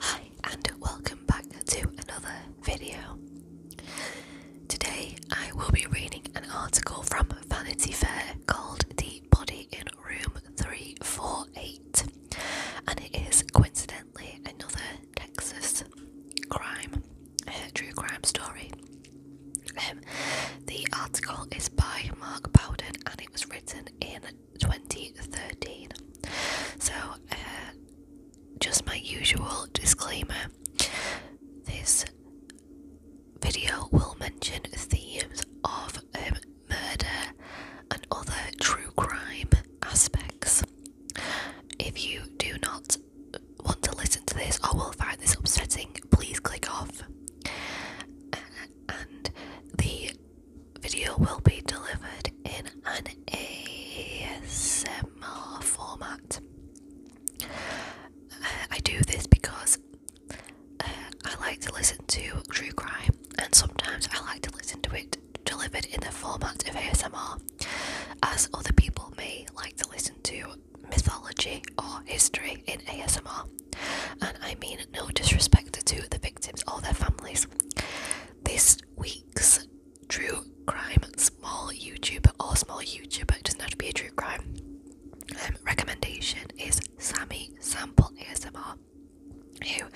Hi and welcome back to another video. Today I will be reading an article from Vanity Fair called The Body in Room 348 and it is coincidentally another Texas crime, uh, true crime story. Um, the article is by Mark Bowden and it was written in 2013. So, uh, just my usual disclaimer this video will mention themes of um, murder and other true crime aspects. If you do not want to listen to this or will find this upsetting, please click off. Uh, and the video will be delivered in an ASMR format. Uh, I do this because uh, I like to listen to true crime, and sometimes I like to listen to it delivered in the format of ASMR, as other people may like to listen to mythology or history in ASMR. And I mean no disrespect to the victims or their families. This week's true crime small YouTuber or small YouTuber, doesn't have to be a true crime, um, recommendation is Sammy Sample ASMR, who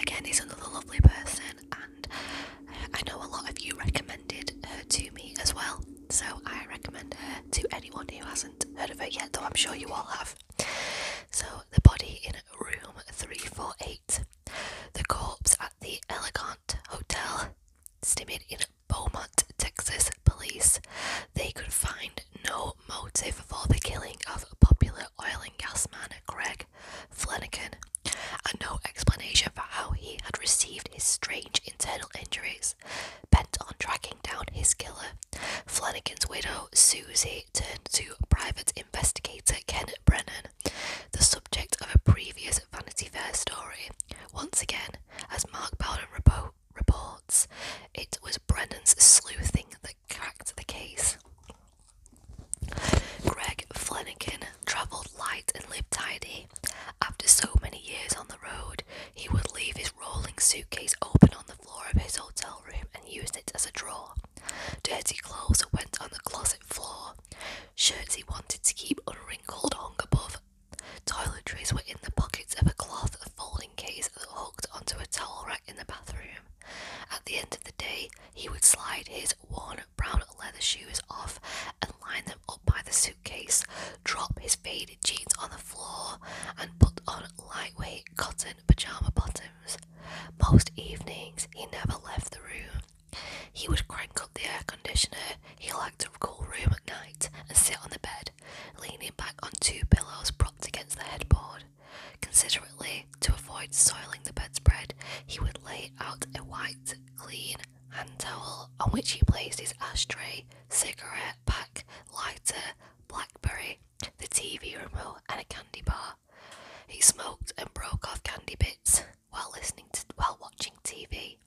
again is another lovely person, and uh, I know a lot of you recommended her to me as well. So I recommend her to anyone who hasn't heard of her yet, though I'm sure you all have. So the body in room 348. The corpse at the Elegant Hotel, Stimming in Beaumont, Texas police. They could find no motive for the killing of popular oil and gas man Greg Flanagan, and no explanation for how he had received his strange internal injuries. Bent on tracking down his killer, Flanagan's widow, Susie, turned to private investigator Ken Brennan, the subject of a previous Vanity Fair story. Once again, as Mark Bowden reports, it was Brennan's sleuthing that cracked the case. Greg Flanagan travelled light and lived tidy. After so many years on the road, he would leave his rolling suitcase open on the floor of his hotel room and used it as a drawer. Dirty clothes went on the closet floor. Shirts he wanted to keep unwrinkled hung above. Toiletries were in the pockets of a cloth folding case that hooked onto a towel rack in the bathroom. At the end of the day, he would slide his worn brown leather shoes off and line them up by the suitcase, drop his faded jeans on the floor, and put on lightweight cotton pajama bottoms. Most evenings he never left the room. He would crank up the air conditioner. He liked a cool room at night and sit on the bed, leaning back on two pillows propped against the headboard. Considerately, to avoid soiling the bedspread, he would lay out a white, clean hand towel on which he placed his ashtray, cigarette pack, lighter, blackberry, the TV remote, and a candy bar. He smoked and broke off candy bits while listening while watching TV.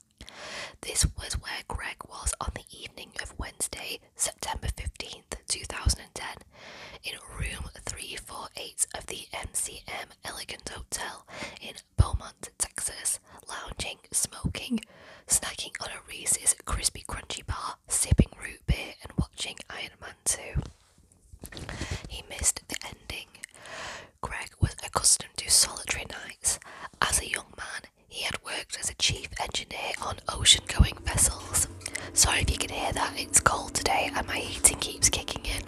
This was where Greg was on the evening of Wednesday, September 15th, 2010, in room 348 of the MCM Elegant Hotel in Beaumont, Texas, lounging, smoking, snacking on a Reese's crispy crunchy bar sipping root beer and watching Iron Man 2. He missed the ending. Greg was accustomed to solitary nights. As a young man, he had worked as a chief engineer on ocean going vessels. Sorry if you can hear that, it's cold today and my heating keeps kicking in.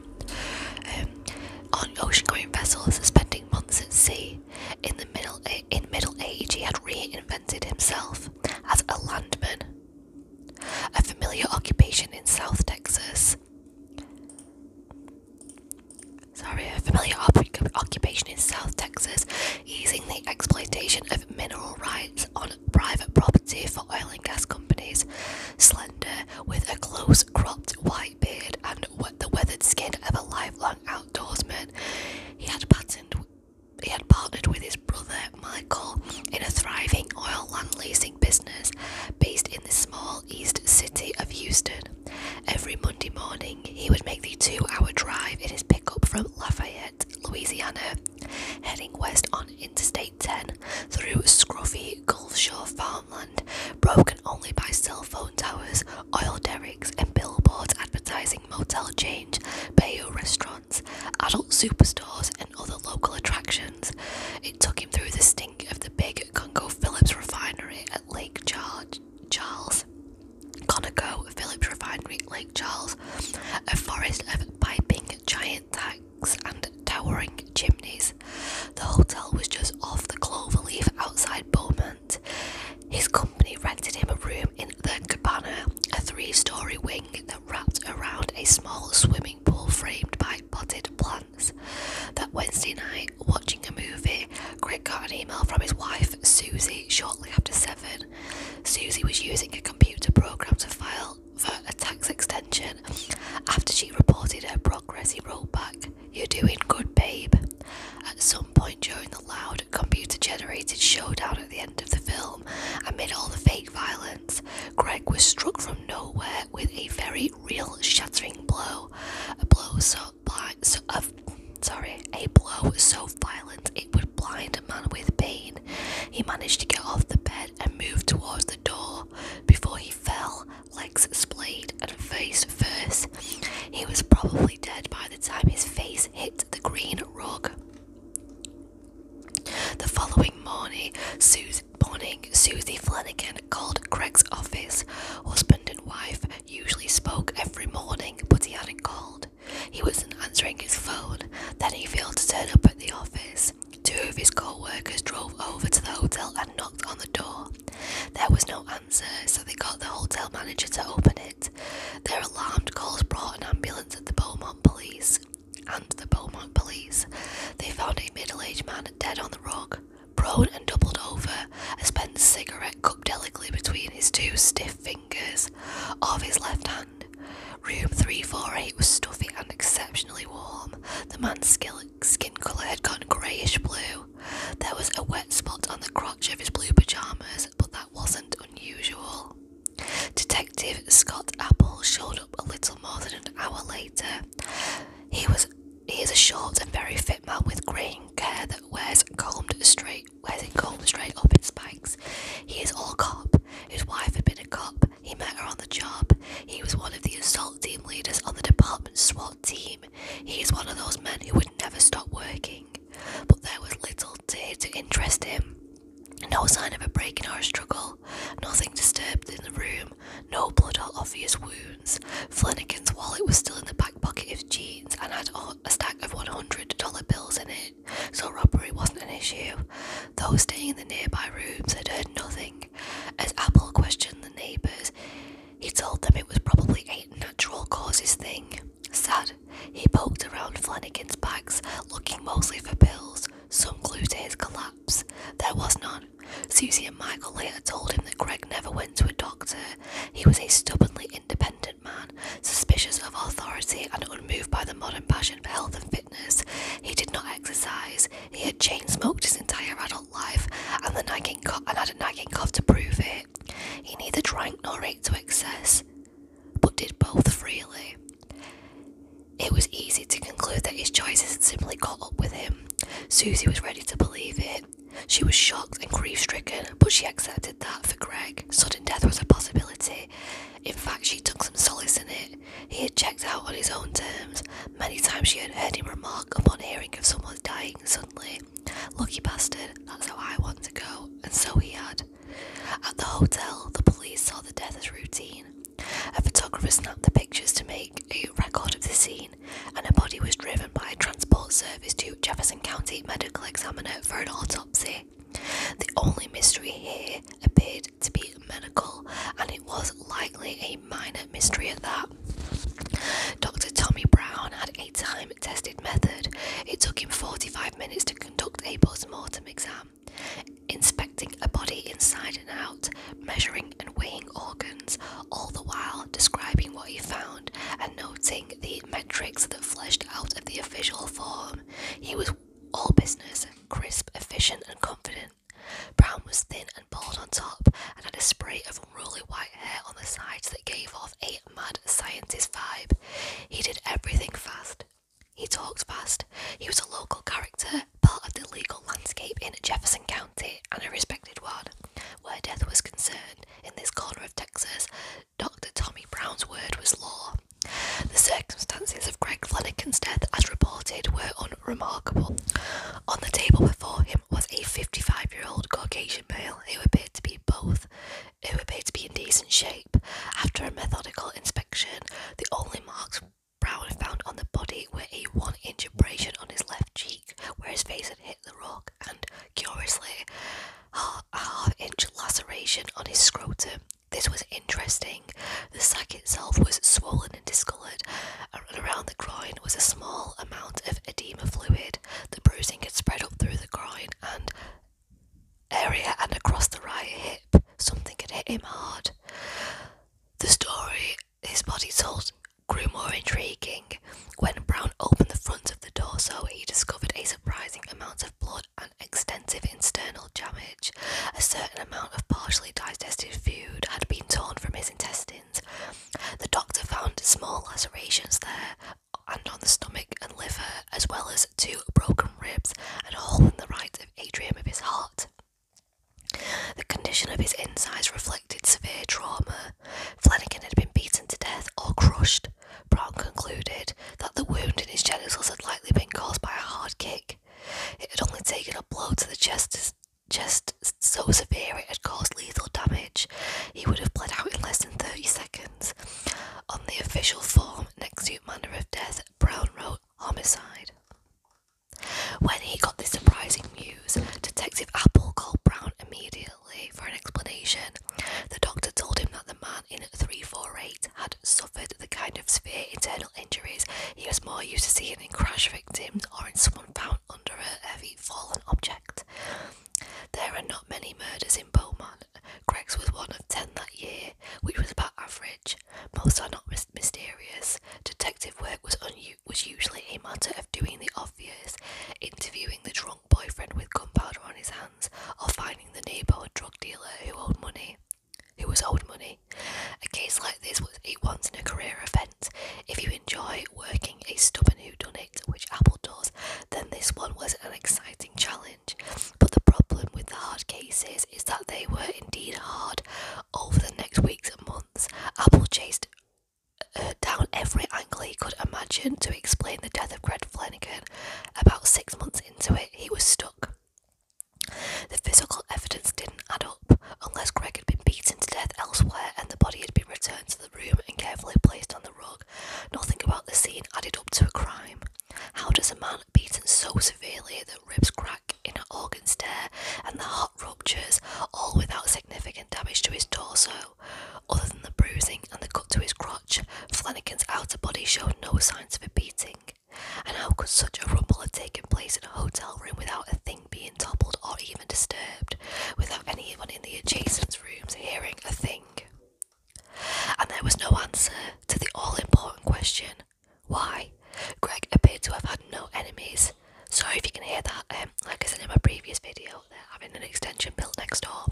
Um, on ocean going vessels, spending months at sea. In the middle in middle age he had reinvented himself as a landman a familiar occupation in South Texas. Sorry, a familiar occupation in South Texas, easing the exploitation of mineral rights on private property for oil and gas companies. Slender, with a close cropped white beard and the weathered skin of a lifelong outdoorsman, he had patterned he had partnered with his brother Michael in a thriving oil land leasing business based in the small east city of Houston. Every Monday morning, he would make the two hour drive in his pickup from Lafayette, Louisiana, heading west on Interstate 10 through scruffy Gulf Shore farmland, broken only by cell phone towers, oil derricks, and billboards advertising motel change, Bayou restaurant adult superstores, and other local attractions. It took him through the stink of the big Congo Phillips refinery at Lake Charles. Congo Phillips Refinery Lake Charles, a forest of piping giant tanks and towering chimneys. The hotel was just off the cloverleaf outside Beaumont. His company rented him a room in the cabana, a three story wing wrapped around a small swimming pool framed by potted plants. That Wednesday night, watching a movie, Greg got an email from his wife, Susie, shortly after 7. Susie was using a computer program to file for a tax extension. After she reported her progress, he wrote back, You're doing good, babe. At some point during the loud, computer generated showdown at the end of the film, amid all the fake violence, Greg was struck from nowhere with a very real shattering blow. A blow so blind, uh, sorry, a blow so violent it would blind a man with pain. He managed to get off the bed and move towards the door before he fell, legs splayed and face first. He was probably dead by the time his face hit the green rug. The following morning, Susie, Flanagan called Craig's office. Husband and wife usually spoke every morning, but he hadn't called. He wasn't answering his phone. Then he failed to turn up at the office. Two of his co workers drove over to the hotel and knocked on the door. There was no answer, so they got the hotel manager to open it. Their alarmed calls brought an ambulance and the Beaumont police and the Beaumont police, they found a middle aged man dead on the rug, prone and doubled over, a spent cigarette cupped delicately between his two stiff fingers of his left hand. Room 348 was stuffy and exceptionally warm. The man's skin colour had gone greyish blue. There was a wet spot on the crotch of his blue pyjamas, but that wasn't unusual. Detective Scott Apple showed up a little more than an hour later. He was he is a short and very fit man with greying hair that wears combed straight wears it combed straight up in spikes. He is all cop. His wife had been a cop. He met her on the job. He was one of the assault team leaders on the department SWAT team. He is one of those men who would never stop working. But there was little to, to interest him. No sign of a break in our struggle, nothing disturbed in the room, no blood or obvious wounds. Flanagan's wallet was still in the back pocket of his jeans and had a stack of $100 bills in it, so robbery wasn't an issue. Those staying in the nearby rooms had heard nothing. As Apple questioned the neighbours, he told them it was probably a natural causes thing. Sad, he poked around Flanagan's bags, looking mostly for pills, some clue to his collapse. There was none. Susie and Michael later told him that Greg never went to a doctor. He was a stubbornly independent man, suspicious of authority and unmoved by the modern passion for health and fitness. He did not exercise. He had chain smoked his entire adult life and, the nagging co- and had a nagging cough to prove it. He neither drank nor ate to excess but did both freely. It was easy to conclude that his choices had simply caught up with him. Susie was ready to believe it. She was shocked and grief stricken, but she accepted that for Greg, sudden death was a possibility. In fact, she took some solace in it. He had checked out on his own terms. Many times she had heard him remark upon hearing of someone dying suddenly Lucky bastard, that's how I want to go, and so he had. At the hotel, the police saw the death as routine. A photographer snapped the pictures to make a record of the scene, and a body was driven by a transport service to Jefferson County Medical Examiner for an autopsy. The only mystery here appeared to be medical, and it was likely a minor mystery at that. Dr. Tommy Brown had a time tested method. It took him 45 minutes to conduct a post mortem exam, inspecting a body inside and out, measuring and weighing organs, all the while describing what he found and noting the metrics that fleshed out of the official form. He was all business, crisp, efficient, and confident. Brown was thin and bald on top and had a spray of unruly white hair on the sides that gave off a mad scientist vibe. He did everything fast, he talked fast. He was a local character, part of the legal landscape in Jefferson County, and a respected one. Where death was concerned, in this corner of Texas, Dr. Tommy Brown's word was law. The circumstances of Greg Flanagan's death, as reported, were unremarkable. On the table before him was a 55-year-old Caucasian male who appeared to be both, who appeared to be in decent shape. After a methodical inspection, the only marks Brown found on the body were a one inch abrasion on his left cheek where his face had hit the rock, and curiously, a half inch laceration on his scrotum. This was interesting. The sac itself was swollen and discoloured, and around the groin was a small amount of edema fluid. The bruising had spread up through the groin and area and across the right hip. Something had hit him hard. The story his body told grew more intriguing. When Brown opened the front of the torso, he discovered a surprising amount of blood and extensive internal damage. A certain amount of partially digested food had been torn from his intestines. The doctor found small lacerations there and on the stomach and liver, as well as two broken ribs and a hole in the right atrium of his heart. The condition of his insides reflected severe trauma. Flanagan had been beaten to death or crushed. Brown concluded that the wound in his genitals had likely been caused by a hard kick. It had only taken a blow to the chest, chest so severe it had caused lethal damage. He would have bled out in less than 30 seconds. On the official form, next to manner of death, Brown wrote homicide. When he got this surprising news, Detective Apple called Brown immediately for an explanation. The doctor told him that the man in 348 had suffered the kind of severe internal injuries he was more used to seeing in crash victims or in someone found under a heavy fallen object. There are not many murders in Bowman. Greg's was one of ten that year, which was about average. Most are not mysterious. Detective work was, was usually a matter of doing the obvious, interviewing the drunk boyfriend with gunpowder on his hands, or finding the neighbourhood drug dealer who owed money. Who was owed money? A case like this was a once in a career event. If you enjoy working a stubborn it, which Apple does, then this one was an exciting challenge. But the problem with the hard cases is that they were indeed hard over the next weeks and months. Apple chased uh, down every angle he could imagine to explain the death of Greg Flanagan. About six months into it, he was stuck. The physical evidence didn't add up, unless Greg had been beaten to death elsewhere and the body had been returned to the room and carefully placed on the rug. Nothing about the scene added up to a crime. How does a man beaten so severely that ribs crack, inner organs tear, and the heart ruptures, all without significant damage to his torso. Other than the bruising and the cut to his crotch, Flanagan's outer body showed no signs of a beating. And how could such a rumble have taken place in a hotel room without a thing being toppled or even disturbed, without anyone in the adjacent rooms hearing a thing? And there was no answer to the all important question why? Greg appeared to have had no enemies. Sorry if you can hear that. Um, like I said in my previous video, they're having an extension built next door.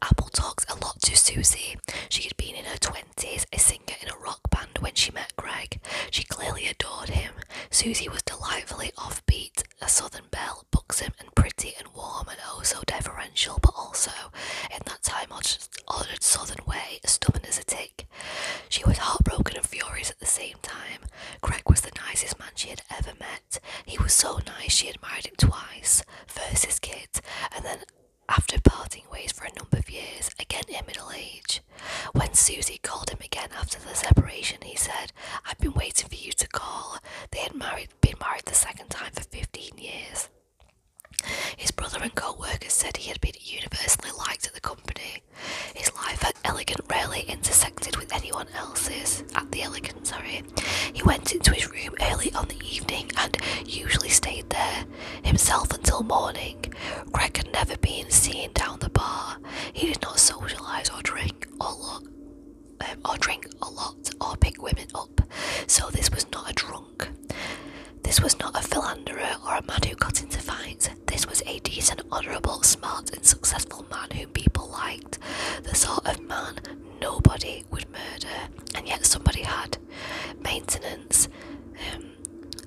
Apple talks a lot to Susie. She had been in her 20s, a singer in a rock band when she met Greg. She clearly adored him. Susie was delightfully offbeat, a southern belle, buxom and pretty and warm and oh so deferential, but also, in that time, ordered southern way, stubborn as a she was heartbroken and furious at the same time. Craig was the nicest man she had ever met. He was so nice she had married him twice, first his kid, and then after parting ways for a number of years, again in middle age. When Susie called him again after the separation, he said, I've been waiting for you to call. They had married, been married the second time for 15 years. His brother and co workers said he had been universally liked at the company. His life at Elegant rarely intersected with anyone else's. At the Elegant, sorry. He went into his room early on the evening and usually stayed there himself until morning. Greg had never been seen down the bar. He did not socialise or drink or look. Um, or drink a lot or pick women up, so this was not a drunk. This was not a philanderer or a man who got into fights. This was a decent, honourable, smart, and successful man whom people liked. The sort of man nobody would murder, and yet somebody had maintenance. Um,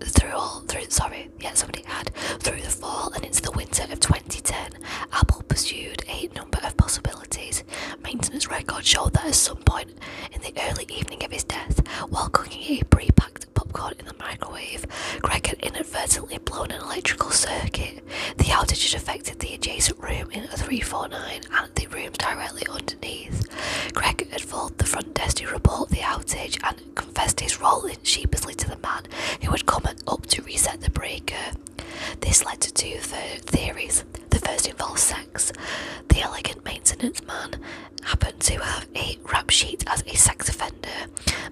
through all through sorry yet somebody had through the fall and into the winter of 2010 apple pursued a number of possibilities maintenance records showed that at some point in the early evening of his death while cooking a pre packed popcorn in the microwave. Greg had inadvertently blown an electrical circuit. The outage had affected the adjacent room in 349 and the rooms directly underneath. Greg had called the front desk to report the outage and confessed his role in sheepishly to the man who had come up to reset the breaker. This led to two theories. The first involved sex. The elegant maintenance man happened to have a rap sheet as a sex offender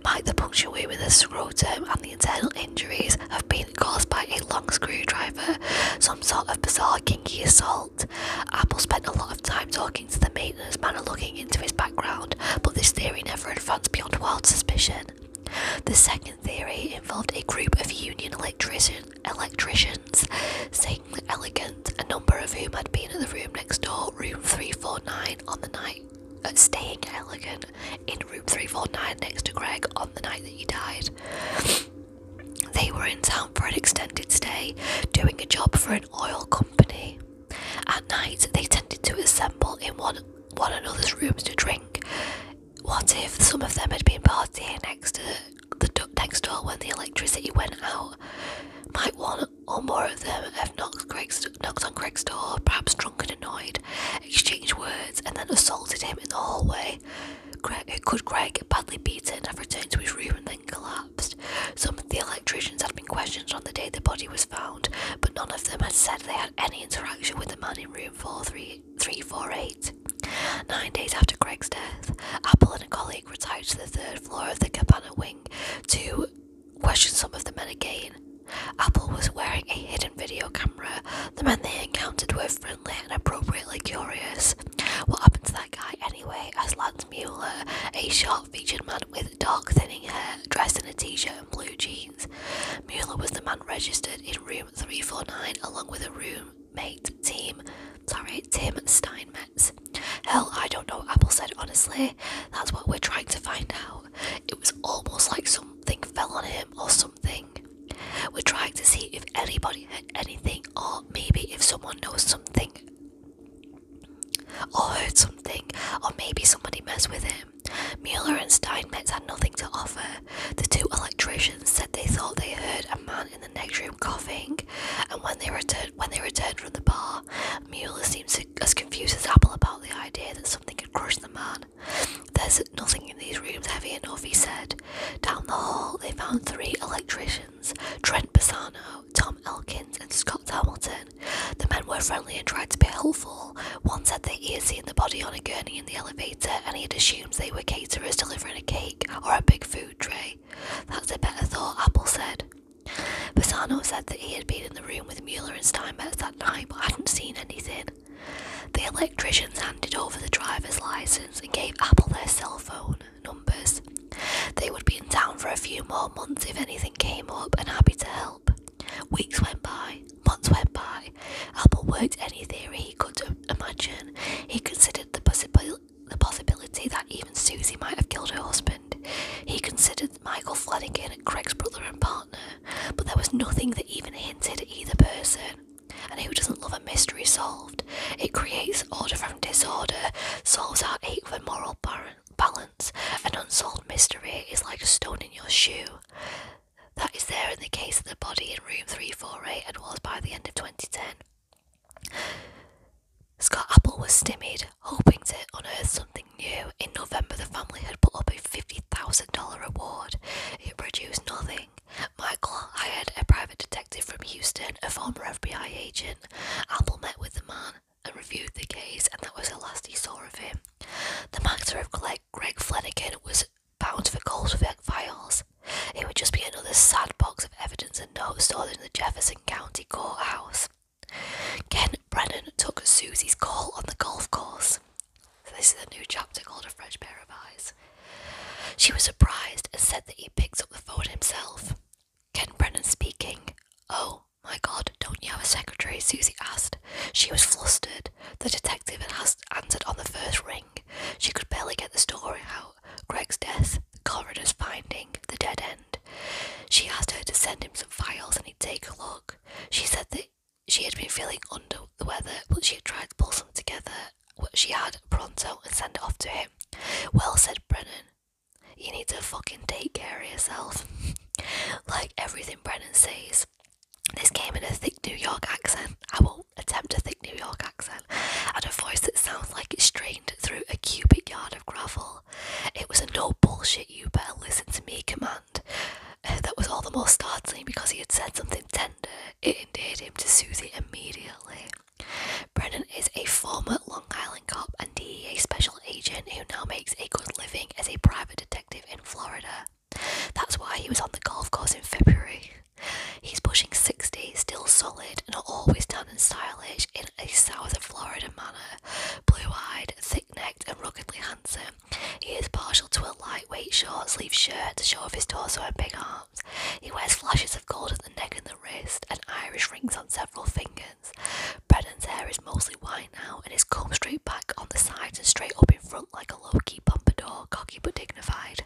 might the puncture wound in the term, and the internal injuries have been caused by a long screwdriver some sort of bizarre kinky assault apple spent a lot of time talking to the maintenance man and looking into his background but this theory never advanced beyond wild suspicion the second theory involved a group of union electricians elegant, a number of whom had been in the room next door, room 349, on the night. Uh, staying elegant in room 349 next to Greg on the night that he died. They were in town for an extended stay, doing a job for an oil company. At night, they tended to assemble in one, one another's rooms to drink. What if some of them had been partying next to the duck next door when the electricity went out. Might one or more of them have knocked, on Greg's door, perhaps drunk and annoyed, exchanged words, and then assaulted him in the hallway? Greg, could Greg, badly beaten, have returned to his room and then collapsed? Some of the electricians had been questioned on the day the body was found, but none of them had said they had any interaction with the man in room 43348. Nine days after Greg's death, Apple and a colleague retired to the third floor of the Cabana Wing to question some of the men again. Apple was wearing a hidden video camera. The men they encountered were friendly and appropriately curious. What happened to that guy anyway? asked Lance Mueller, a short featured man with dark thinning hair, dressed in a t shirt and blue jeans. Mueller was the man registered in room 349 along with a roommate, team, sorry, Tim Steinmetz. Hell, I don't know, Apple said honestly. That's what we're trying to find out. It was almost like something fell on him or something. We're trying to see if anybody had anything, or maybe if someone knows something or heard something, or maybe somebody messed with him. Mueller and Steinmetz had nothing to offer. The two electricians said they thought they heard a man in the next room coughing, and when they returned, when they returned from the bar, Mueller seemed as confused as Apple about the idea that something could crush the man. There's nothing in these rooms heavy enough, he said. Down the hall, they found three electricians Trent Bassano, Tom Elkins, and Scott Hamilton. The men were friendly and tried to be helpful. One said they had seen the body on a gurney in the elevator and he had assumed they were caterers delivering a cake or a big food tray. That's a better thought, Apple said. Bassano said that he had been in the room with Mueller and Steinmetz that night but hadn't seen anything. The electricians handed over the driver's license and gave Apple their cell phone numbers. They would be in town for a few more months if anything came up and happy to help. Weeks went by, months went by. Apple worked any theory he could imagine. He considered the possibility the possibility that even Susie might have killed her husband. He considered Michael Flanagan Craig's brother and partner, but there was nothing that even hinted at either person. And who doesn't love a mystery solved? It creates order from disorder, solves our ache for moral balance. An unsolved mystery is like a stone in your shoe. That is there in the case of the body in room 348 and was by the end of 2010. Scott Apple was stymied, hoping to unearth something new. In November, the family had put up a $50,000 reward. It produced nothing. Michael hired a private detective from Houston, a former FBI agent. Apple met with the man and reviewed the case, and that was the last he saw of him. The matter of Greg Flanagan was bound for gold with files. It would just be another sad box evidence and notes stored in the Jefferson County courthouse. Ken Brennan took Susie's call on the golf course. this is a new chapter called A Fresh Pair of Eyes. She was surprised and said that he picked up the phone himself. Ken Brennan speaking. Oh my god, don't you have a secretary? Susie asked. She was flustered. The detective answered on the first ring. She could barely get the story out. Greg's death, the coroner's finding, the dead end. She asked her to send him some files and he'd take a look. She said that she had been feeling under the weather, but she had tried to pull some together, what she had pronto, and send it off to him. Well, said Brennan, you need to fucking take care of yourself. like everything Brennan says. This came in a thick New York accent. I will attempt a thick New York accent. And a voice that sounds like it's strained through a cubic yard of gravel. It was a no bullshit, you better listen to me command. Uh, that was all the more startling because he had said something tender. It endeared him to Susie immediately. Brennan is a former Long Island cop and DEA special agent who now makes a good living as a private detective in Florida. That's why he was on the golf course in February. He's pushing 60, still solid, and always and stylish in a South Florida manner. Blue eyed, thick necked, and ruggedly handsome, he is partial to a lightweight short sleeved shirt to show off his torso and big arms. He wears flashes of gold at the neck and the wrist, and Irish rings on several fingers. Brennan's hair is mostly white now and is combed straight back on the sides and straight up in front like a low key pompadour, cocky but dignified.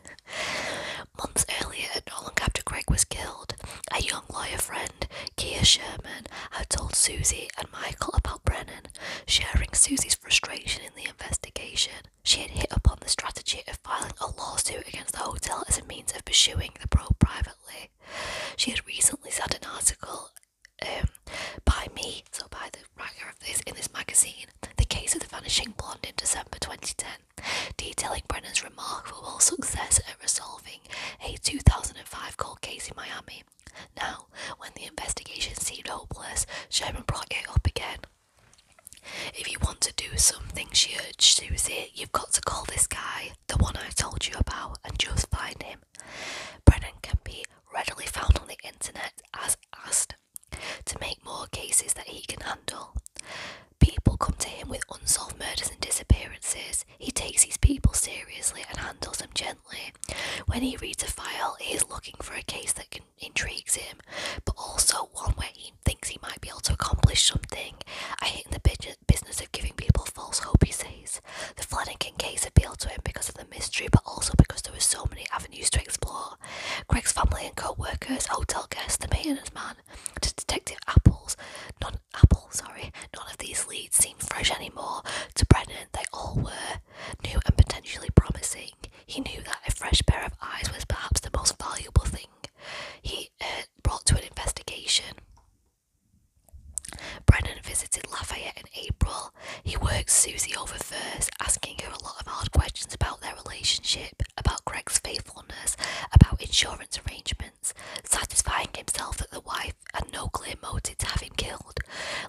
Months earlier, and not long Greg was killed, a young lawyer friend, Kia Sherman, had told Susie and Michael about Brennan, sharing Susie's frustration in the investigation. She had hit upon the strategy of filing a lawsuit against the hotel as a means of pursuing the probe privately. She had recently sent an article um, by me, so by the writer of this, in this magazine, The Case of the Vanishing Blonde in December 2010, detailing Brennan's remarkable success resolving a 2005 cold case in Miami. Now, when the investigation seemed hopeless, Sherman brought it up again. If you want to do something, she urged Susie, you've got to call this guy, the one I told you about, and just find him. Brennan can be readily found on the internet as asked to make more cases that he can handle. People come to him with unsolved murders and disappearances. He takes these people seriously and handles them gently. When he reads a file, he is looking for a case that intrigues him, but also one where he thinks he might be able to accomplish something. I hate the business of giving people false hope, he says. The flooding case appealed to him because of the mystery, but also because there were so many avenues to explore. Greg's family and coworkers, hotel guests, the maintenance man, Detective Apples, none Apple, sorry, none of these leads seem fresh anymore. To Brennan, they all were new and potentially promising. He knew that a fresh pair of eyes was perhaps the most valuable thing he uh, brought to an investigation. Brennan visited Lafayette in April. He worked Susie over first, asking her a lot of hard questions about their relationship, about Greg's faithfulness, about insurance arrangements satisfying himself that the wife had no clear motive to have him killed.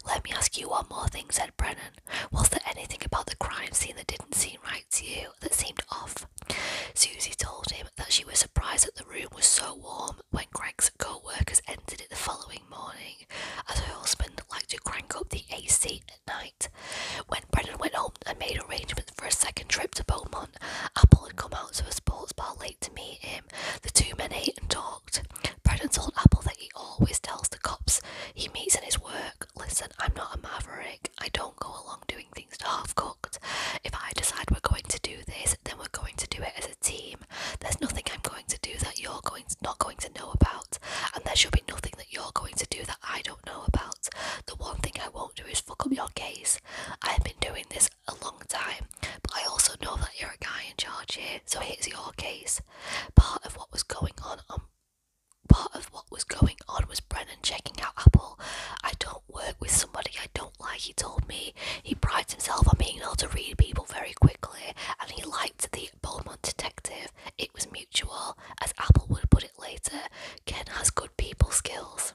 Let me ask you one more thing, said Brennan. Was there anything about the crime scene that didn't seem right to you, that seemed off? Susie told him that she was surprised that the room was so warm when Greg's co workers entered it the following morning, as her husband liked to crank up the AC at night. When Brennan went home and made arrangements for a second trip to Beaumont, Apple had come out to a sports bar late to meet him. The two men ate and talked. Brennan told Apple that he always tells the cops he meets in his work, Listen, I'm not a maverick. I don't go along doing things half cooked. If I decide we're going to do this, then we're going to do it as a team. There's nothing I'm going to do that you're going not going to know about, and there should be nothing that you're going to do that I don't know about. The one thing I won't do is fuck up your case. I've been doing this a long time, but I also know that you're a guy in charge here, so it is your case. Part of what was going on, um, part of what was going on was Brennan checking out Apple. I don't work with somebody I don't like. He told me he prides himself on being able to read people very quickly, and he liked the Beaumont detective. It was mutual, as Apple would put it later. Ken has good people skills.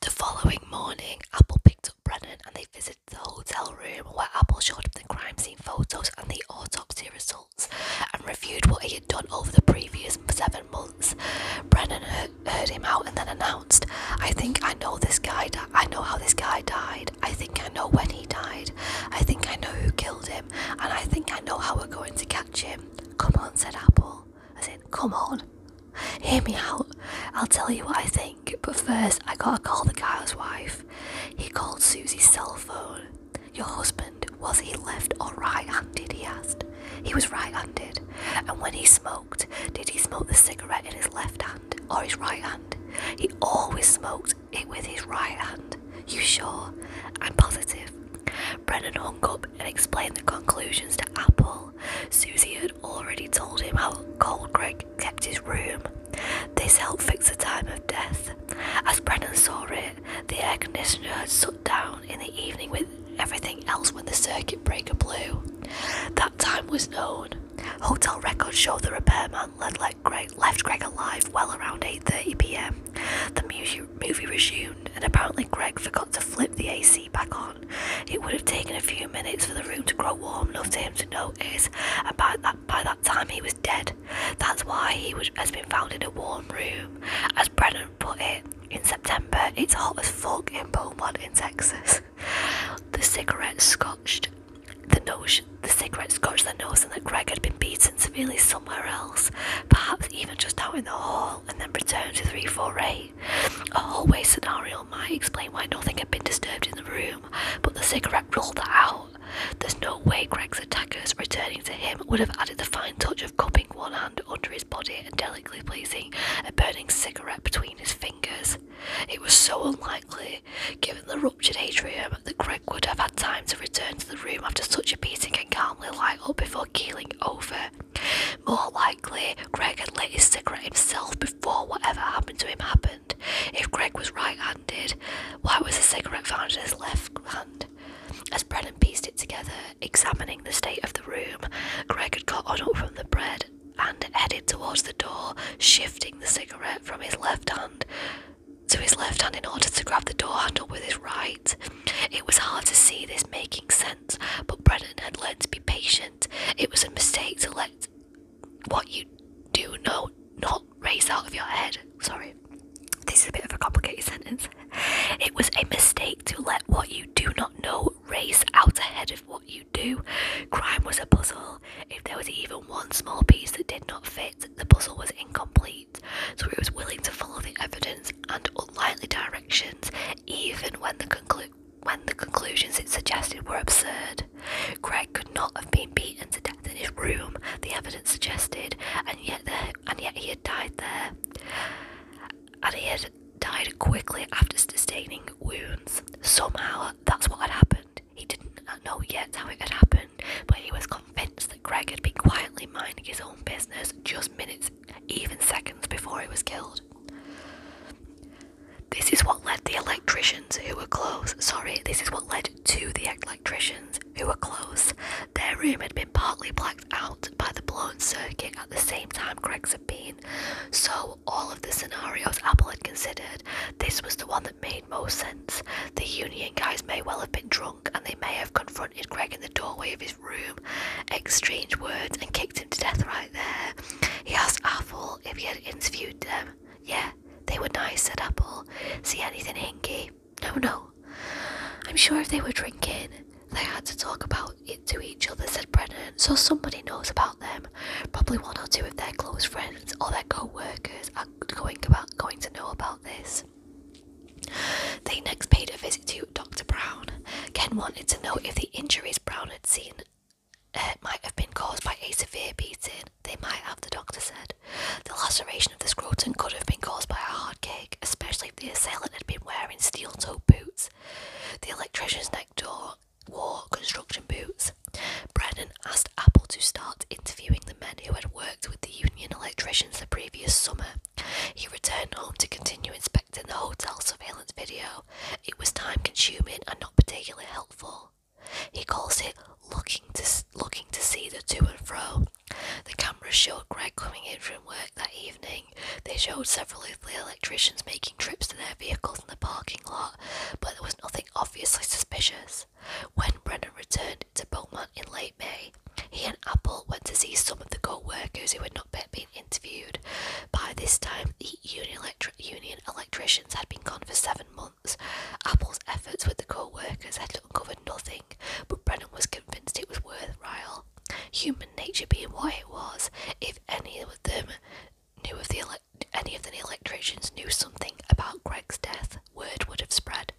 The following morning, Apple picked up Brennan and they visited the hotel room where Apple showed him the crime scene photos and the autopsy results and reviewed what he had done over the previous seven months. Brennan heard him out and then announced, I think I know this guy, I know how this guy died, I think I know when he died, I think I know who killed him, and I think I know how we're going to catch him. Come on, said Apple. I said, Come on, hear me out. I'll tell you what I think, but first I gotta call the guy's wife. He called Susie's cell phone. Your husband, was he left or right handed? He asked. He was right handed. And when he smoked, did he smoke the cigarette in his left hand or his right hand? He always smoked it with his right hand. You sure? I'm positive. Brennan hung up and explain the conclusions to Apple. Susie had already told him how cold Greg kept his room. This helped fix the time of death. As Brennan saw it, the air conditioner had shut down in the evening with everything else when the circuit breaker blew. That time was known. Hotel records show the repairman left Greg alive well around 8.30pm. The movie resumed and apparently Greg forgot to flip the AC back on. It would have taken a few minutes for the room to grow warm enough for him to notice, and by that, by that time he was dead. That's why he would, has been found in a warm room. As Brennan put it, in September, it's hot as fuck in Beaumont in Texas. the cigarette scotched the nose, the cigarette scotched the nose, and that Greg had been beaten severely somewhere else, perhaps even just out in the hall, and then returned to 348. A hallway scenario might explain why nothing had been disturbed in the room, but the cigarette ruled that out. There's no way Greg's attackers returning to him would have added the fine touch of cupping one hand under his body and delicately placing a burning cigarette between his fingers. It was so unlikely, given the ruptured atrium, that Greg would have had time to return to the room after such a beating and calmly light up before keeling over. More likely, Greg had lit his cigarette himself before whatever happened to him happened. If Greg was right handed, why was the cigarette found in his left hand? As Brennan pieced it together, examining the state of the room, Greg had got on up from the bed and headed towards the door, shifting the cigarette from his left hand to his left hand in order to grab the door handle with his right. It was hard to see this making sense but Brennan had learned to be patient. It was a mistake to let what you do know not race out of your head. Sorry, this is a bit of a complicated sentence. It was a mistake to let what you do not know race out ahead of what you do. Crime was a puzzle. If there was even one small piece that did not fit, the puzzle was incomplete. So he was willing to follow the evidence and unlikely directions, even when the conclusion when the conclusions it suggested were absurd. Greg could not have been beaten to death in his room, the evidence suggested, and yet there, and yet he had died there. And he had died quickly after sustaining wounds. Somehow that's what had happened. He didn't know yet how it had happened, but he was convinced that Greg had been quietly minding his own business just minutes even seconds before he was killed. This is what led the electricians who were close. Sorry, this is what led to the electricians who were close. Their room had been partly blacked out by the blown circuit at the same time Greg's had been. So, all of the scenarios Apple had considered, this was the one that made most sense. The union guys may well have been drunk and they may have confronted Greg in the doorway of his room, exchanged words, and kicked him to death right there. He asked Apple if he had interviewed them. Yeah, they were nice, said Apple. See anything hinky? No, no. I'm sure if they were drinking, they had to talk about it to each other, said Brennan. So somebody knows about them. Probably one or two of their close friends or their co-workers are going about going to know about this. They next paid a visit to Dr. Brown, Ken wanted to know if the injuries Brown had seen uh, might have been caused by a severe beating. They might have, the doctor said. The laceration of the scrotum could have been caused by a hard kick, especially if the assailant had been wearing steel toed boots. The electrician's next door wore construction boots. Brennan asked Apple to start interviewing the men who had worked with the union electricians the previous summer. He returned home to continue inspecting the hotel surveillance video it was time consuming and not particularly helpful. He calls it looking to, looking to see the to and fro. The cameras showed Greg coming in from work that evening. They showed several of the electricians making trips to their vehicles in the parking lot, but there was nothing obviously suspicious. When Brennan returned to Beaumont in late May, he and Apple went to see some of the co workers who had not been interviewed. By this time, the union, electri union electricians had been gone for seven months. Apple's efforts with the co-workers had uncovered nothing, but Brennan was convinced it was worthwhile. Human nature being what it was, if any of them knew of the any of the electricians knew something about Greg's death, word would have spread.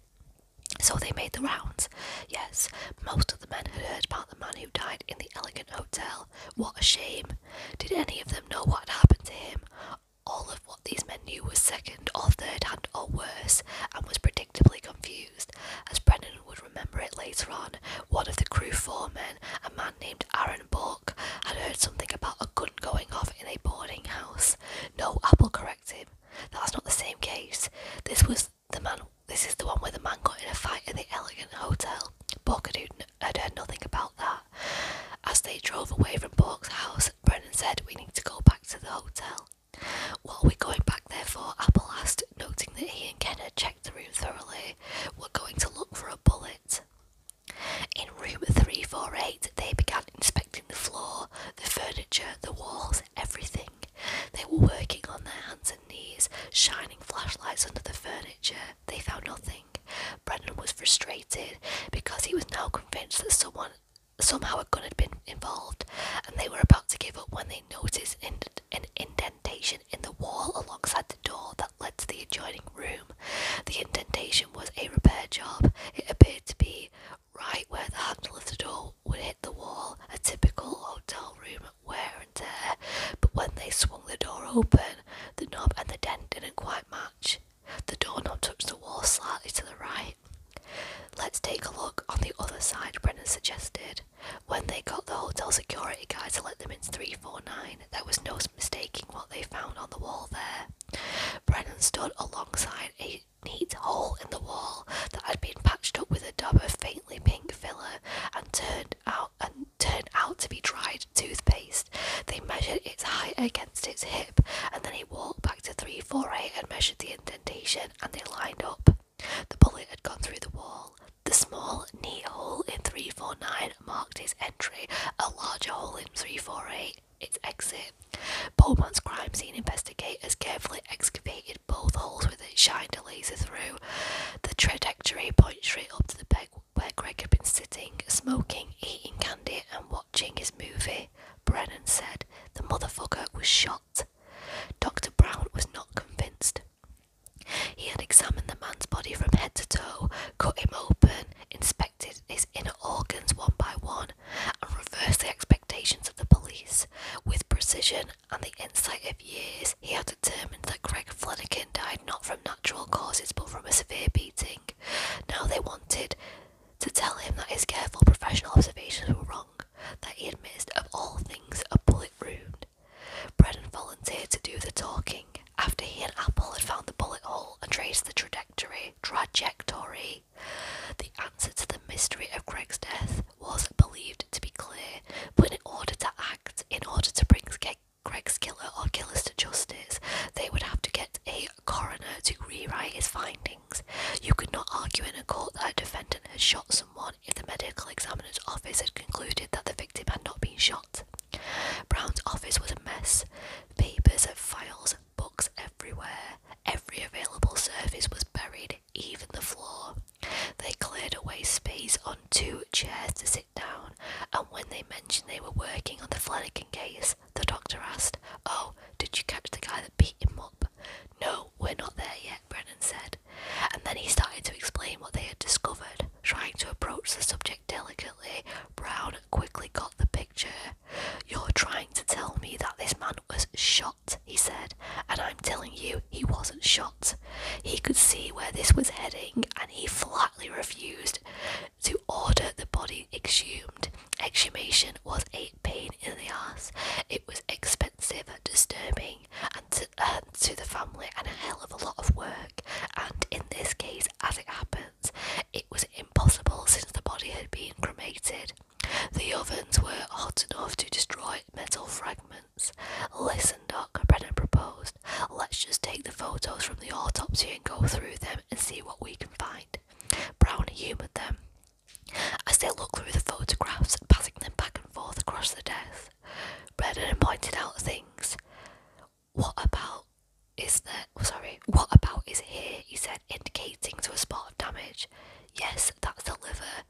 So they made the rounds. Yes, most of the men had heard about the man who died in the elegant hotel, what a shame. Did any of them know what happened to him? All of what these men knew was second or third hand or worse, and was predictably confused. As Brennan would remember it later on, one of the crew foremen, a man named Aaron Bork, had heard something about a gun going off in a boarding house. No, Apple corrected him. That's not the same case. This was the man. This is the one where the man got in a fight in the Elegant Hotel. Borkadood had heard nothing about that. As they drove away from Bork's house, Brennan said, "We need to go back to the hotel." While we are going back there for? Apple asked, noting that he and Ken had checked the room thoroughly. We're going to look for a bullet. In room 348, they began inspecting the floor, the furniture, the walls, everything. They were working on their hands knees, shining flashlights under the furniture. They found nothing. Brendan was frustrated because he was now convinced that someone somehow a gun had been involved, and they were about to give up when they noticed an indentation in the wall alongside the door that led to the adjoining room. The indentation was a repair job. It appeared to be right where the handle of the door would hit the wall, a typical hotel room and wear and tear, but when they swung the door open, the knob and the dent didn't quite match. The doorknob touched the wall slightly to the right. Let's take a look on the other side, Brennan suggested. When they got the hotel security guy to let them in, 349, there was no mistaking what they found on the wall there. Brennan stood alongside a neat hole in the wall that had been patched up with a dab of faintly pink filler and turned out and turned out to be dried toothpaste. They measured its height against its hip, and then he walked back to 348 and measured the indentation, and they lined up. The bullet had gone through the wall. The small, knee hole in 349 marked his entry, a larger hole in 348 its exit. Beaumont's crime scene investigators carefully excavated both holes that shined a laser through. The trajectory point straight up to the peg where Greg had been sitting, smoking, eating candy, and watching his movie. Brennan said the motherfucker was shot. Dr. Brown was not convinced. He had examined the man's body from head to toe, cut him open, inspected his inner organs one by one, and reversed the expectations of the police. With precision, and the insight of years, he had determined that Greg Flanagan died not from natural causes but from a severe beating. Now they wanted to tell him that his careful professional observations were wrong, that he had missed, of all things a bullet wound. Brennan volunteered to do the talking. After he and Apple had found the bullet hole and traced the trajectory, trajectory, the answer to the mystery of Greg's death was believed to be clear but in order to act, in order to bring Greg's killer or killers to justice, they would have to get a coroner to rewrite his findings. You could not argue in a court that a defendant had shot someone if the medical examiner's office had concluded that the victim had not been shot. Brown's office was a mess. Papers and files, books everywhere. Every available surface was buried, even the floor. They cleared away space on two chairs to sit down, and when they mentioned they were working on the Flanagan case, the doctor asked, Oh, did you catch the guy that beat him up? No, we're not there yet, Brennan said. And then he started to explain what they had discovered. Trying to approach the subject delicately, Brown quickly got the picture. You're trying to tell me that this man was shot, he said, and I'm telling you he wasn't shot. He could see where this was heading, and he flatly refused to order the body exhumed. Exhumation was a pain in the ass. It was expensive, disturbing, and um, to the family, and a hell of a lot of work. And in this case, as it happens, it was impossible since the body had been cremated. The ovens were hot enough to destroy metal fragments Listen, Doc, Brennan proposed. Let's just take the photos from the autopsy and go through them and see what we can find. Brown humoured them. As they looked through the photographs, passing them back and forth across the desk, Brennan pointed out things. What about is there? Oh, sorry, what about is here? He said, indicating to a spot of damage. Yes, that's the liver.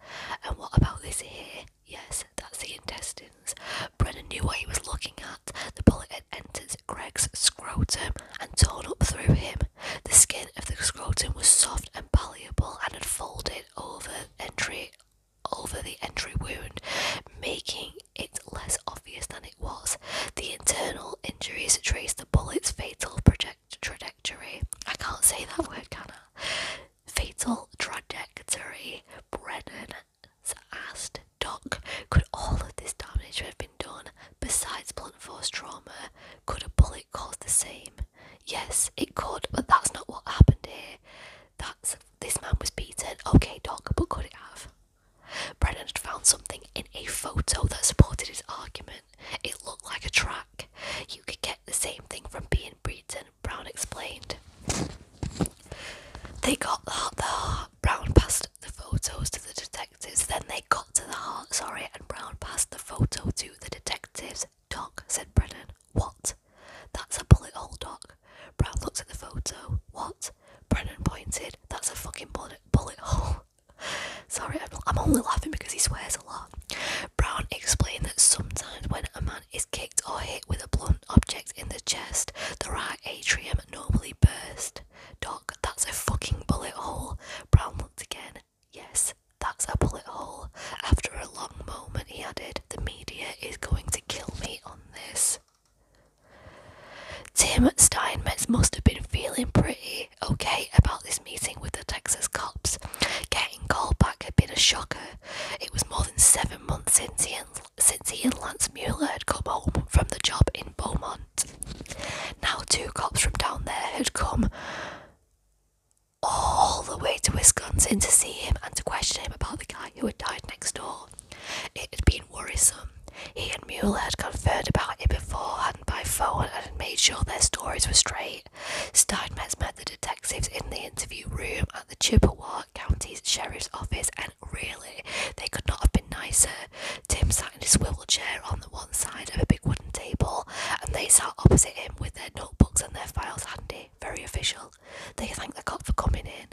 And what about this here? Yes, that's the intestines. Brennan knew what he was looking at. The bullet had entered Greg's scrotum and torn up through him. The skin of the scrotum was soft and palpable and had folded over entry over the entry wound, making it less obvious than it was. The internal injuries traced the bullet's fatal project trajectory. I can't say that word, can I? Fatal trajectory. Brennan asked Doc, could all of this damage have been done besides blunt force trauma? Could a bullet cause the same? Yes, it could, but that's not what happened here. That's this man was beaten. Okay, Doc, but could it have? Brennan had found something in a photo that supported his argument. It looked like a track. You could get the same thing from being beaten Brown explained. They got the the Brown passed the photos to the detectives. Then they got to the heart, sorry, and Brown passed the photo to the detectives. Doc, said Brennan. What? That's a bullet hole, Doc. Brown looked at the photo. What? Brennan pointed. That's a fucking bullet, bullet hole. Sorry, I'm, I'm only laughing because he swears a lot. Brown explained that sometimes when a man is killed, or hit with a blunt object in the chest, the right atrium normally burst. Doc, that's a fucking bullet hole. Brown looked again. Yes, that's a bullet hole. After a long moment, he added, The media is going to kill me on this. Tim Steinmetz must have been feeling pretty okay about this meeting with the Texas cops. Getting called back had been a shocker. It was more than seven months since he and since he and Lance Mueller had come home from the job in Beaumont. Now, two cops from down there had come all the way to Wisconsin to see him and to question him about the guy who had died next door. It had been worrisome. He and Mueller had conferred about it beforehand by phone and had made sure their stories were straight. Steinmetz met the detectives in the interview room at the Chippewa County Sheriff's Office, and really, they could not have been nicer. Tim sat in his swivel chair on the one side of a big wooden table, and they sat opposite him with their notebooks and their files handy. Very official. They thanked the cop for coming in.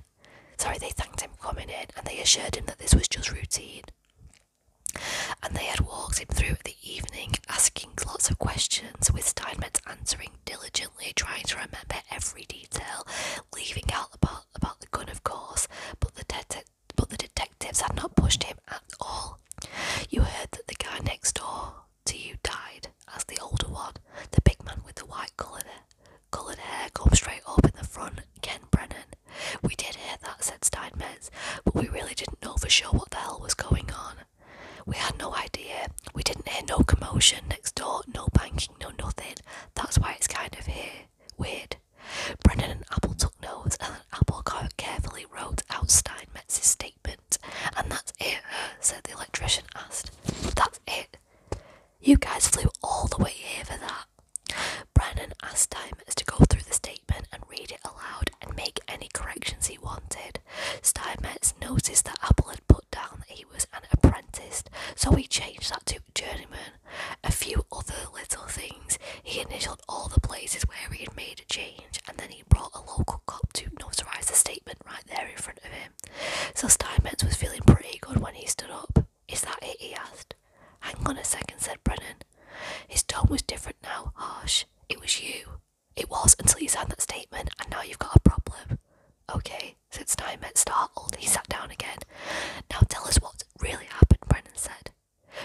Sorry, they thanked him for coming in, and they assured him that this was just routine. And they had walked him through the evening, asking lots of questions, with Steinmetz answering diligently, trying to remember every detail, leaving out the part about the gun, of course, but the, det but the detectives had not pushed him at all. You heard that the guy next door to you died, as the older one, the big man with the white coloured Coloured hair come straight up in the front, Ken Brennan. We did hear that, said Steinmetz, but we really didn't know for sure what the hell was going on. We had no idea, we didn't hear no commotion next door, no banking, no nothing. That's why it's kind of here. Weird. Brennan and Apple took notes, and then Apple carefully wrote out Steinmetz's statement. And that's it, uh, said the electrician, asked. That's it. You guys flew all the way here for that. Brennan asked Steinmetz to go through the statement and read it aloud and make any corrections he wanted. Steinmetz noticed that Apple had put down that he was an apprentice, so he changed that to journeyman. A few other little things. He initialed all the places where he had made a change, and then he brought a local cop to notarize the statement right there in front of him. So Steinmetz was feeling pretty good when he stood up. Is that it? he asked. Hang on a second, said Brennan. His tone was different now, harsh. It was you. It was until you signed that statement, and now you've got a problem. Okay, since time had startled, he sat down again. Now tell us what really happened, Brennan said.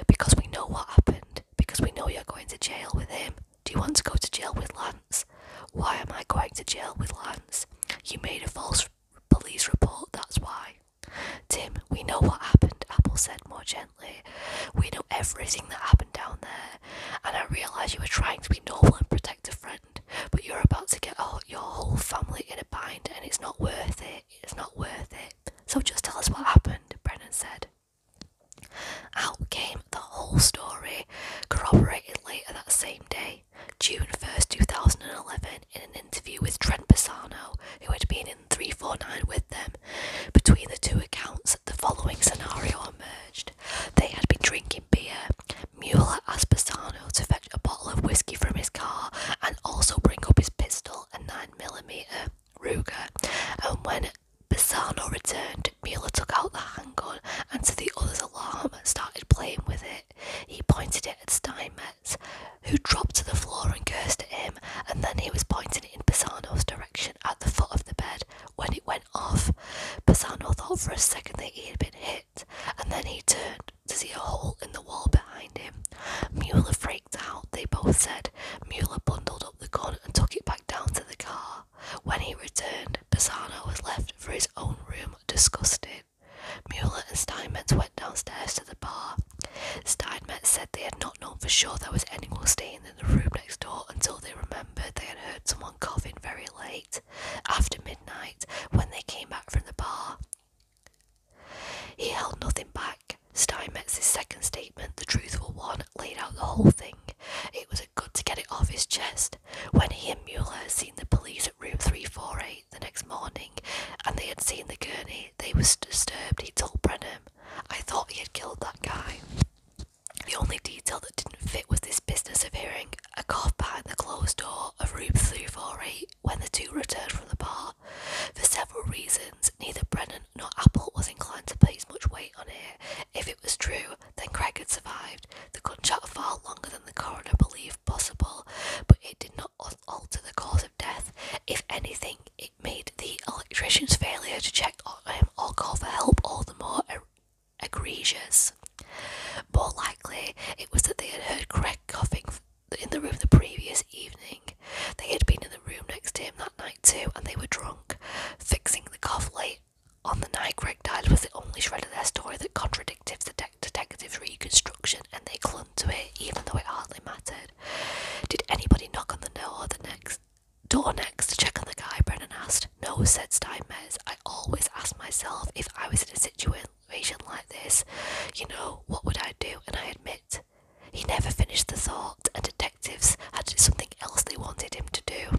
Because we know what happened. Because we know you're going to jail with him. Do you want to go to jail with Lance? Why am I going to jail with Lance? You made a false police report, that's why. Tim, we know what happened, Apple said more gently. We know everything that happened down there, and I realise you were trying to be normal and protect a friend but you're about to get your whole family in a bind and it's not worth it. It's not worth it. So just tell us what happened, Brennan said. Out came the whole story, corroborated later that same day, June 1st, 2011, in an interview with Trent Pisano, who had been in 349 with them. Between the two accounts, the following scenario emerged. They had been drinking beer. Mueller asked Pisano to fetch a bottle of whiskey from his car and also bring up his pistol a 9mm Ruger. And when Pisano returned, Mueller took out the handgun and, to the other's alarm, started playing with it. He pointed it at Steinmetz, who dropped to the floor and cursed at him, and then he was pointing it in Pisano's direction at the foot of the bed when it went off. Basano thought for a second that he had been hit, and then he turned to see a hole in the wall behind him. Mueller freaked out, they both said. Mueller bundled up the gun and took it back down to the car. When he returned, Bassano was left for his own room, disgusted. Mueller and Steinmetz went downstairs to the bar. Steinmetz said they had not known for sure there was anyone staying in the room next door until they remembered they had heard someone coughing very late. After midnight, Night when they came back from the bar. He held nothing back. Steinmetz's second statement, the truthful one, laid out the whole thing. It was good to get it off his chest. When he and Mueller seen the police at room 348 the next morning and they had seen the gurney, they was disturbed, he told Brenham. I thought he had killed that guy. The only detail that didn't fit was this business of hearing a cough behind the closed door of room 348 when the two returned from the bar. For several reasons, neither Brennan nor Apple was inclined to place much weight on it. If it was true, then Craig had survived. The gunshot far longer than the coroner believed possible, but it did not alter the cause of death. If anything, it made the electrician's failure to check on him or call for help all the more egregious. More likely, it was that they had heard Craig coughing in the room the previous evening. They had been in the room next to him that night too, and they were drunk. Fixing the cough late on the night Greg died was the only shred of their story that contradicted the detective's reconstruction, and they clung to it, even though it hardly mattered. Did anybody knock on the door the next door next to check on the guy? Brennan asked. No, said Steinmetz. I always ask myself if I was in a situation like this, you know, what would I do? And I admit, he never finished the thought, and detectives had something else they wanted him to do.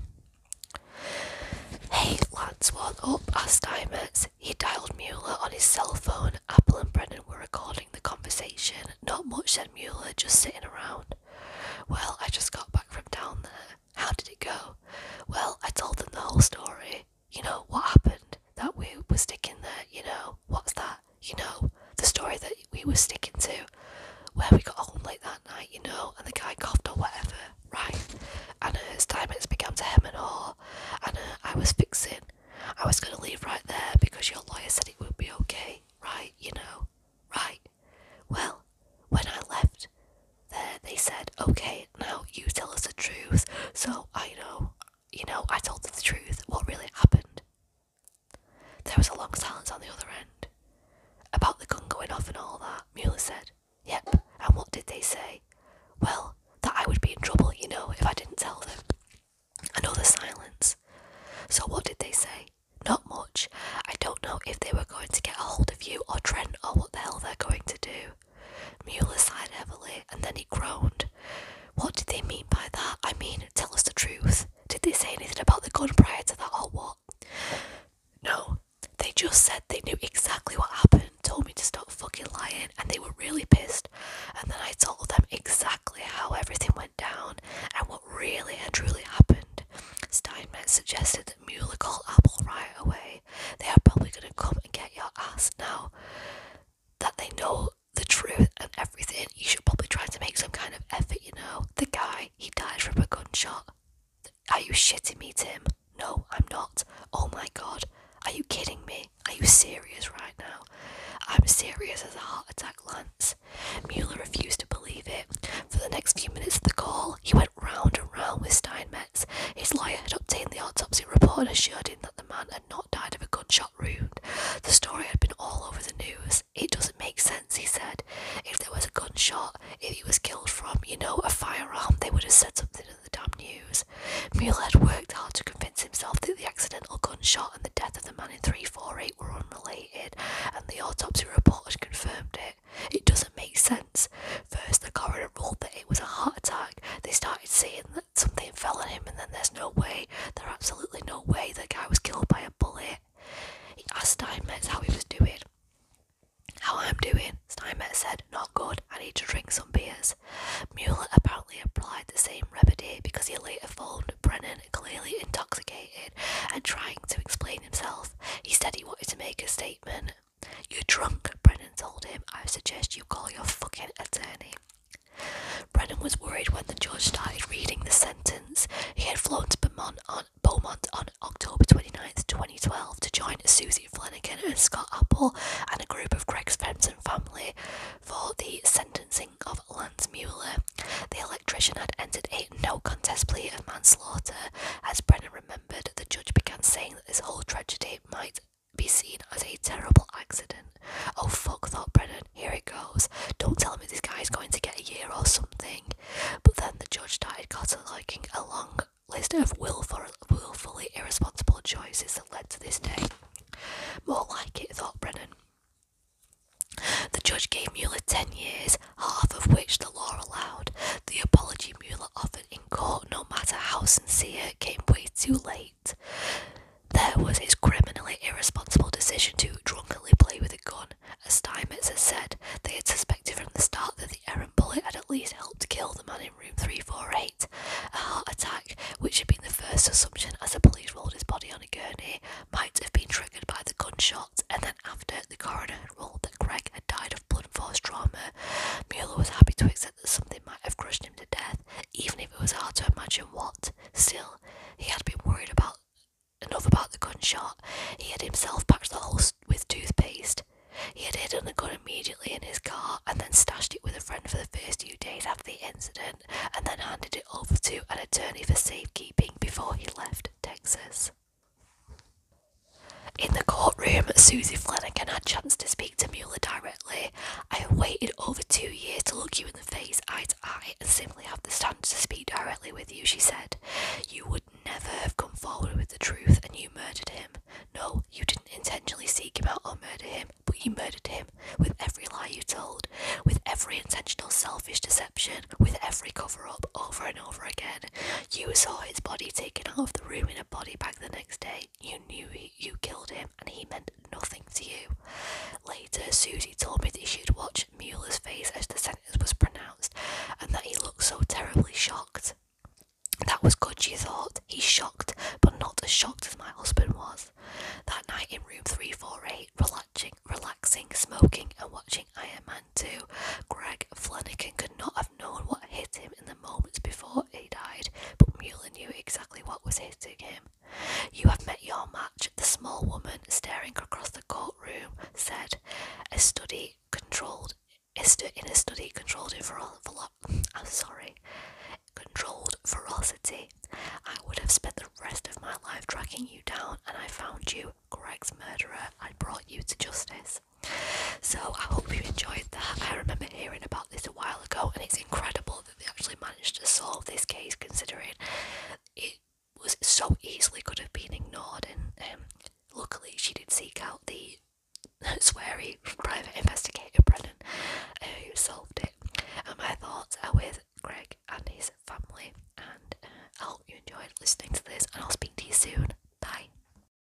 Hey, lads, what up? asked Steinmetz. He dialed Mueller on his cell phone. Apple and Brennan were recording the conversation. Not much, said Mueller, just sitting around. Well, I just got back from down there. How did it go? Well, I told them the whole story. You know, what happened? That we were sticking there, you know, what's that? You know, the story that we were sticking to, where we got home late that night, you know, and the guy coughed or whatever, right? And uh, his teammates began to hem and all. and uh, I was fixing. I was going to leave right there because your lawyer said it would be okay, right? You know, right? Well, when I left there, they said, okay, now you tell us the truth. So I know, you know, I told them the truth, what really happened. There was a long silence on the other end. About the gun going off and all that, Mueller said. Yep, and what did they say? Well, that I would be in trouble, you know, if I didn't tell them. Another silence. So what did they say? Not much. I don't know if they were going to get a hold of you or Trent or what the hell they're going to do. Muller sighed heavily, and then he groaned. What did they mean by that? I mean, tell us the truth. Did they say anything about the gun prior to that whole walk? No, they just said they knew exactly what happened, told me to stop fucking lying, and they were really pissed. And then I told them exactly how everything went down and what really and truly happened. Steinmetz suggested that Muller call Apple right away they are probably going to come and get your ass now that they know the truth and everything. You should probably try to make some kind of effort, you know. The guy, he died from a gunshot. Are you shitting me, Tim? No, I'm not. Oh my god. Are you kidding me? Are you serious right now? I'm serious as a heart attack, Lance. Mueller refused to believe it. For the next few minutes of the call, he went round and round with Steinmetz. His lawyer had obtained the autopsy report and assured him that the man had not died of a gunshot wound. The story had been all over the news. It doesn't make sense, he said. If there was a gunshot, if he was killed from, you know, a firearm, they would have said something in the damn news. Mueller had worked hard to convince himself that the accidental gunshot and the death of the man in 348 were unrelated, and the autopsy report had confirmed it. It doesn't make sense. First, the coroner ruled that it was a heart attack. They started saying that something fell on him, and then there's no way, there's absolutely no way the guy was killed by a bullet. He asked Steinmetz how he was doing. How I'm doing, Steinmetz said, not good, I need to drink some beers. Mueller apparently applied the same remedy because he later found Brennan clearly intoxicated and trying to explain himself. He said he wanted to make a statement, you're drunk, Brennan told him. I suggest you call your fucking attorney. Brennan was worried when the judge started reading the sentence. He had flown to Beaumont on, October 29, 2012, to join Susie Flanagan and Scott Apple and a group of Greg's friends and family for the sentencing of Lance Mueller. The electrician had entered a no contest plea of manslaughter. As Brennan remembered, the judge began saying this whole tragedy might be seen as a terrible accident. Oh fuck, thought Brennan, here it goes. Don't tell me this guy's going to get a year or something. But then the judge started cataloguing a long list of willfully irresponsible choices that led to this day. More like it, thought Brennan. The judge gave Mueller 10 years, half of which the law allowed. The apology Mueller offered in court, no matter how sincere, came way too late. There was his criminally irresponsible decision to drunkenly play with a gun. As Steinmetz had said, they had suspected from the start that the errant bullet had at least helped kill the man in room 348. A heart attack, which had been the first assumption as the police rolled his body on a gurney, might have been triggered by the gunshot, and then after, the coroner had ruled that Craig had died blood and force trauma, Mueller was happy to accept that something might have crushed him to death, even if it was hard to imagine what. Still, he had been worried about enough about the gunshot. He had himself patched the hole with toothpaste. He had hidden the gun immediately in his car and then stashed it with a friend for the first few days after the incident and then handed it over to an attorney for safekeeping before he left Texas. In the courtroom, Susie Flanagan had chance to speak to Mueller directly. I have waited over two years to look you in the face, eye to eye, and simply have the chance to speak directly with you, she said. You would never have come forward with the truth, and you murdered him. No, you didn't intentionally seek him out or murder him, but you murdered him with every lie you told, with every intentional selfish deception, with every cover up over and over again. You saw his body taken out of the room in a body bag the next day, you knew you killed him and he meant nothing to you. Later, Susie told me that she'd watch Mueller's face as the sentence was pronounced and that he looked so terribly shocked. That was good, she thought. He's shocked, but not as shocked as my husband was. That night in room 348, relaxing, relaxing smoking, and watching Iron Man 2, Greg Flanagan could not have known what hit him in the moments before he died, but Mueller knew exactly what was hitting him. You have met your match, the small woman, staring across the courtroom, said. A study controlled in a study controlled in I'm sorry, controlled ferocity. I would have spent the rest of my life tracking you down, and I found you, Greg's murderer. I brought you to justice. So I hope you enjoyed that. I remember hearing about this a while ago, and it's incredible that they actually managed to solve this case considering it was so easily could have been ignored. And um, luckily, she did seek out the sweary private investigator Brennan uh, who solved it. And my thoughts are with Greg and his family. And uh, I hope you enjoyed listening to this, and I'll speak to you soon. Bye.